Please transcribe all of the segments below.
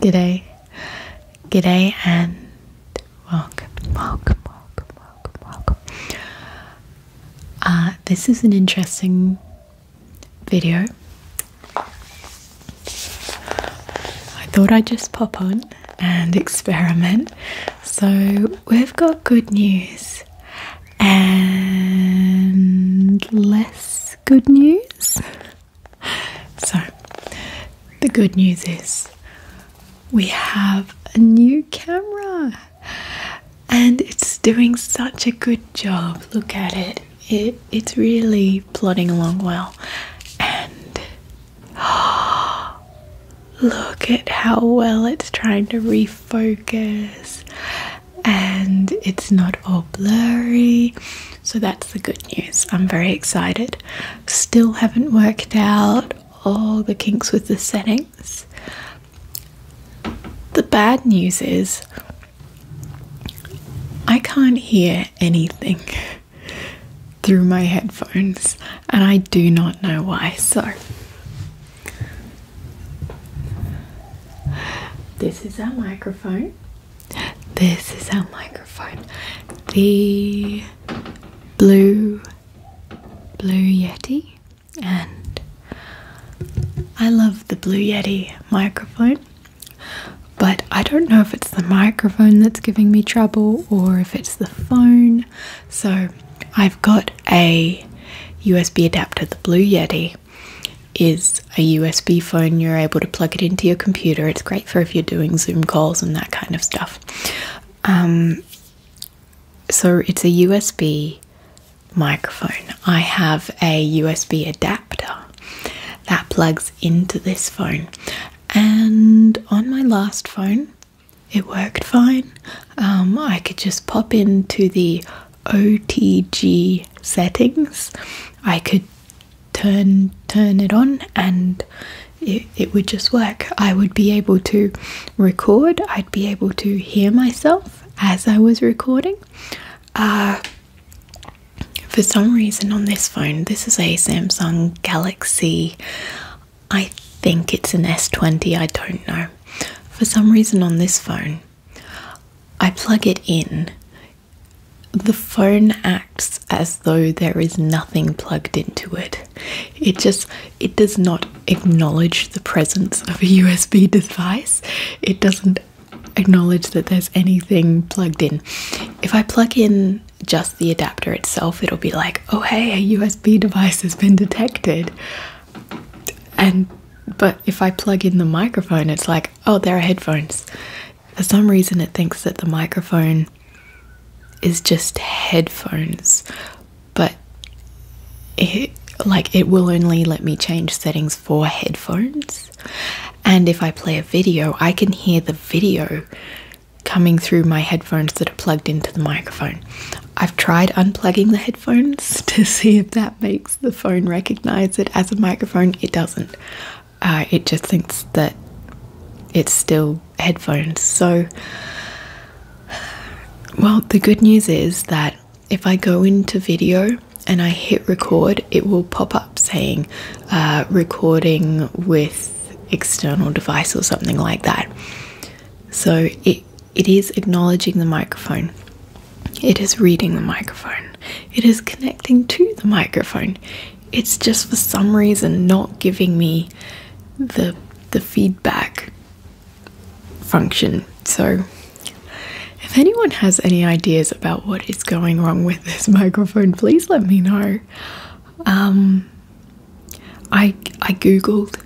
good day, and welcome, welcome, welcome, welcome, welcome. Uh, this is an interesting video. I thought I'd just pop on and experiment. So, we've got good news and less good news. So, the good news is we have a new camera and it's doing such a good job. Look at it. it's really plodding along well. And look at how well it's trying to refocus and it's not all blurry. So that's the good news. I'm very excited. Still haven't worked out all the kinks with the settings. The bad news is I can't hear anything through my headphones, and I do not know why. So, this is our microphone. This is our microphone. The blue blue yeti and I love the blue yeti microphone. But I don't know if it's the microphone that's giving me trouble or if it's the phone. So I've got a USB adapter, the Blue Yeti, is a USB phone. You're able to plug it into your computer. It's great for if you're doing Zoom calls and that kind of stuff. Um, so it's a USB microphone. I have a USB adapter that plugs into this phone, and on my last phone, it worked fine. Um, I could just pop into the OTG settings, I could turn turn it on and it, it would just work. I would be able to record, I'd be able to hear myself as I was recording. Uh, for some reason on this phone, this is a Samsung Galaxy, I think it's an S20, I don't know. For some reason on this phone, I plug it in, the phone acts as though there is nothing plugged into it. It just it does not acknowledge the presence of a USB device. It doesn't acknowledge that there's anything plugged in. If I plug in just the adapter itself, it'll be like, "Oh hey, a USB device has been detected." And but if I plug in the microphone, it's like, oh, there are headphones. For some reason, it thinks that the microphone is just headphones, but it like it will only let me change settings for headphones. And if I play a video, I can hear the video coming through my headphones that are plugged into the microphone. I've tried unplugging the headphones to see if that makes the phone recognize it as a microphone. It doesn't it just thinks that it's still headphones. So, well, the good news is that if I go into video and I hit record, it will pop up saying uh, recording with external device or something like that. So it it is acknowledging the microphone. It is reading the microphone. It is connecting to the microphone. It's just for some reason not giving me the the feedback function. So if anyone has any ideas about what is going wrong with this microphone, please let me know. Um I I googled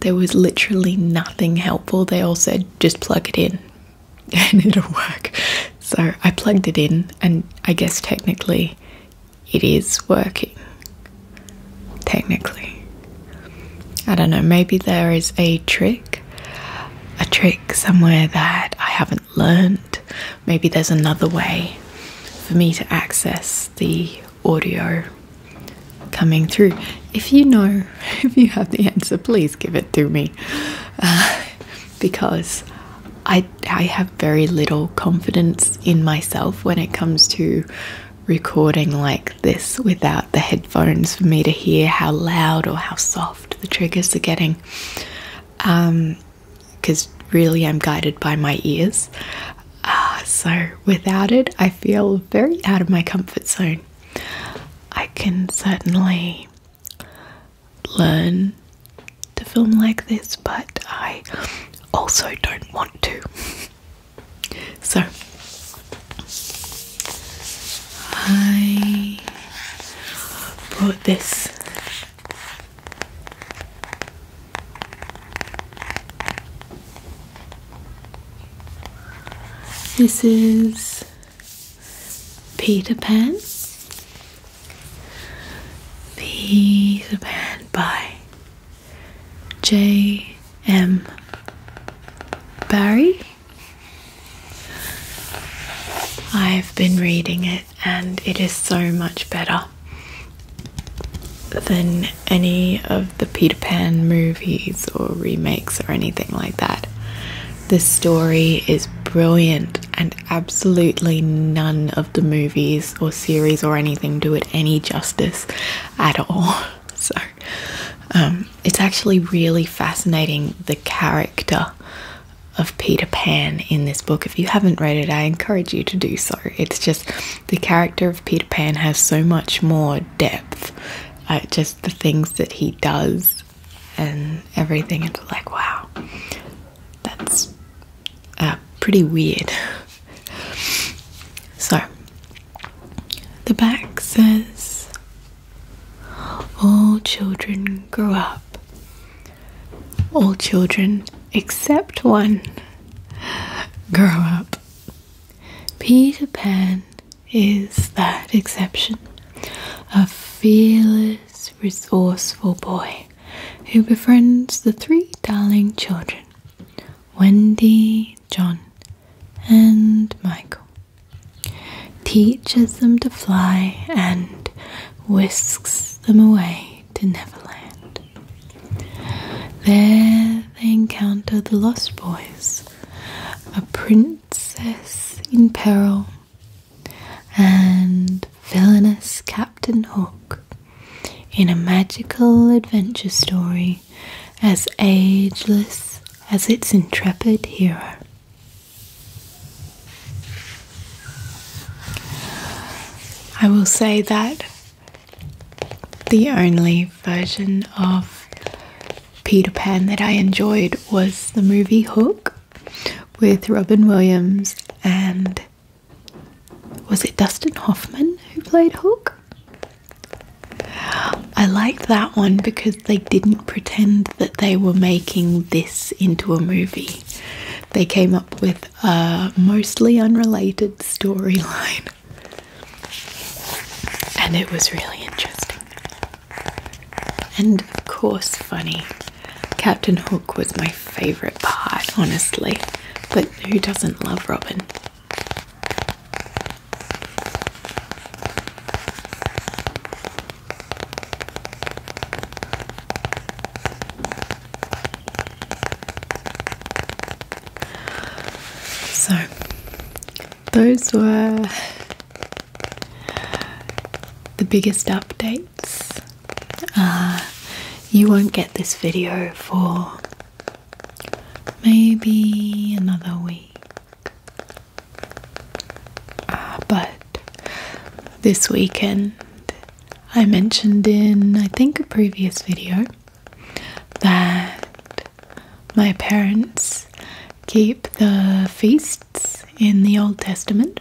there was literally nothing helpful. They all said just plug it in. and it'll work. So I plugged it in, and I guess technically it is working. Technically, I don't know, maybe there is a trick, a trick somewhere that I haven't learned. Maybe there's another way for me to access the audio coming through. If you know, if you have the answer, please give it to me. Uh, because I, I have very little confidence in myself when it comes to recording like this without the headphones for me to hear how loud or how soft the triggers are getting. Because um, really, I'm guided by my ears. Ah, so, without it, I feel very out of my comfort zone. I can certainly learn to film like this, but I also don't want to. so I brought this this is Peter Pan. Peter Pan by J. M. Barry. I've been reading it and it is so much better than any of the Peter Pan movies or remakes or anything like that. This story is brilliant, and absolutely none of the movies or series or anything do it any justice at all. So, um, it's actually really fascinating the character of Peter Pan in this book. If you haven't read it, I encourage you to do so. It's just the character of Peter Pan has so much more depth. just the things that he does and everything. It's like, wow, that's uh, pretty weird. so, the back says, All children grow up. All children except one grow up. Peter Pan is that exception. A fearless this resourceful boy who befriends the three darling children Wendy, John, and Michael, teaches them to fly, and whisks them away to Neverland. There they encounter the Lost Boys, a princess in peril, and villainous Captain Hook in a magical adventure story as ageless as its intrepid hero. I will say that the only version of Peter Pan that I enjoyed was the movie Hook with Robin Williams and was it Dustin Hoffman who played Hook? I liked that one because they didn't pretend that they were making this into a movie. They came up with a mostly unrelated storyline. And it was really interesting. And of course, funny. Captain Hook was my favourite part, honestly. But who doesn't love Robin? So, those were the biggest updates. Uh, you won't get this video for maybe another week, uh, but this weekend I mentioned in I think a previous video that my parents keep the feasts in the Old Testament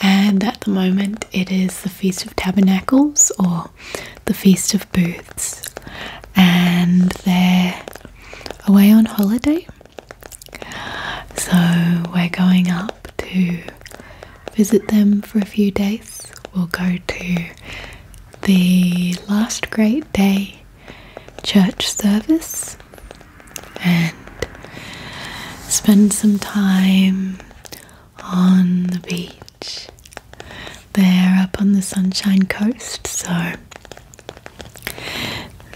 and at the moment, it is the Feast of Tabernacles or the Feast of Booths, and they're away on holiday. So we're going up to visit them for a few days. We'll go to the last great day church service and spend some time on the beach. They're up on the Sunshine Coast, so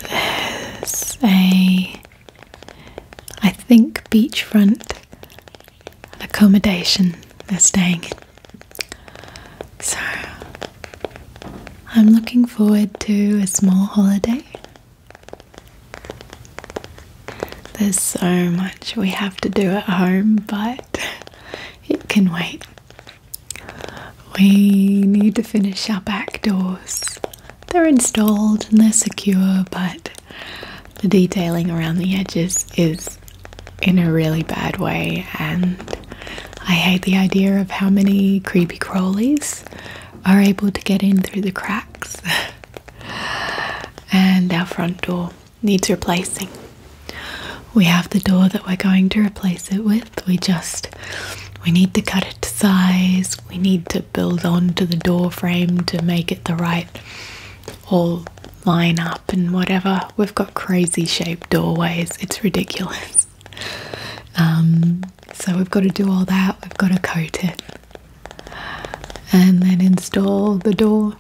there's a, I think, beachfront accommodation they're staying in. So I'm looking forward to a small holiday there's so much we have to do at home, but it can wait. We need to finish our back doors. They're installed and they're secure, but the detailing around the edges is in a really bad way, and I hate the idea of how many creepy crawlies are able to get in through the cracks. and our front door needs replacing. We have the door that we're going to replace it with. We just we need to cut it to size. We need to build on to the door frame to make it the right all line up and whatever. We've got crazy shaped doorways. It's ridiculous. Um, so we've got to do all that, we've got to coat it and then install the door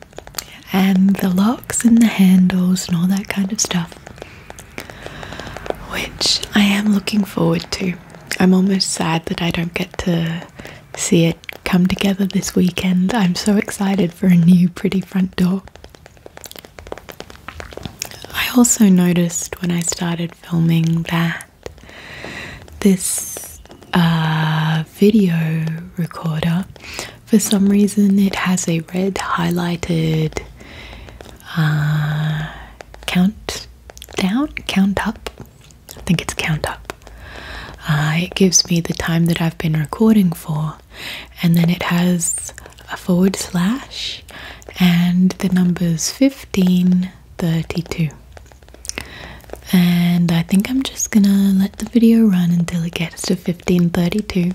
and the locks and the handles and all that kind of stuff, which I am looking forward to. I'm almost sad that I don't get to see it come together this weekend. I'm so excited for a new pretty front door. I also noticed when I started filming that this uh, video recorder, for some reason, it has a red highlighted uh, count down, count up. I think it's count up. Uh, it gives me the time that I've been recording for, and then it has a forward slash and the number is 15 32. And I think I'm just gonna let the video run until it gets to 1532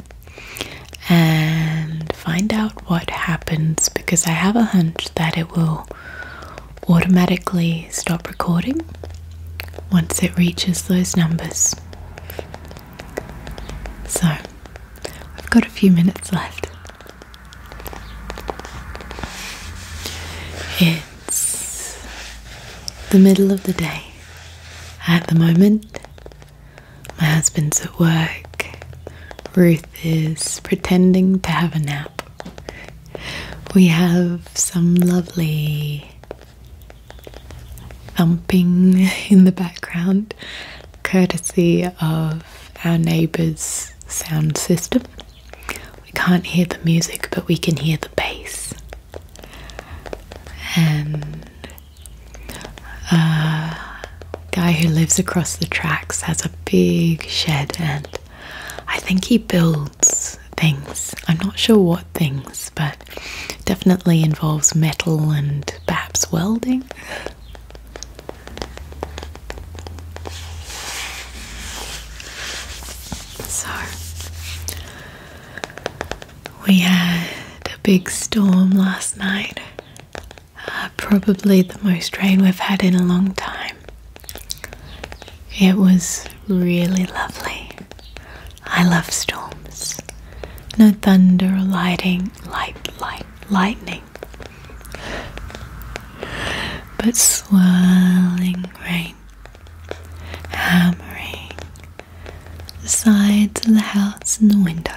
and find out what happens because I have a hunch that it will automatically stop recording once it reaches those numbers. So I've got a few minutes left. It's the middle of the day. At the moment, my husband's at work. Ruth is pretending to have a nap. We have some lovely thumping in the background, courtesy of our neighbour's sound system. We can't hear the music, but we can hear the bass. And a uh, guy who lives across the tracks has a big shed, and I think he builds things. I'm not sure what things, but definitely involves metal and perhaps welding. So, we had a big storm last night. Uh, probably the most rain we've had in a long time. It was really lovely. I love storms. No thunder or lighting, light, light, lightning, but swirling rain, hammering the sides of the house and the window.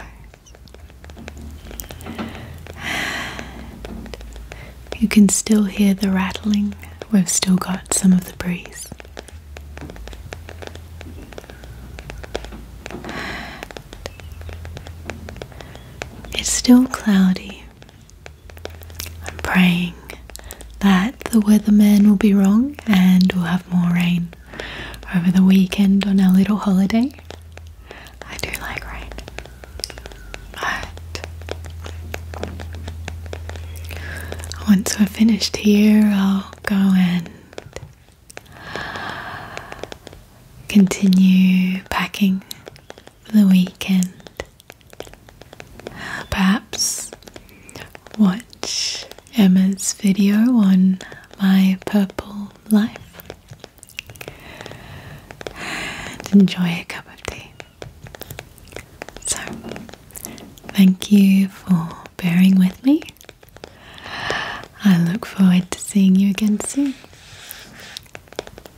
you can still hear the rattling, we've still got some of the breeze. It's still cloudy, I'm praying that the weatherman will be wrong and we'll have more rain over the weekend on our little holiday. I do like rain, but once we're finished here, I'll go and continue packing for the weekend. Perhaps watch Emma's video on my purple life and enjoy a cup of tea. So, thank you for bearing with me. I look forward to seeing you again soon.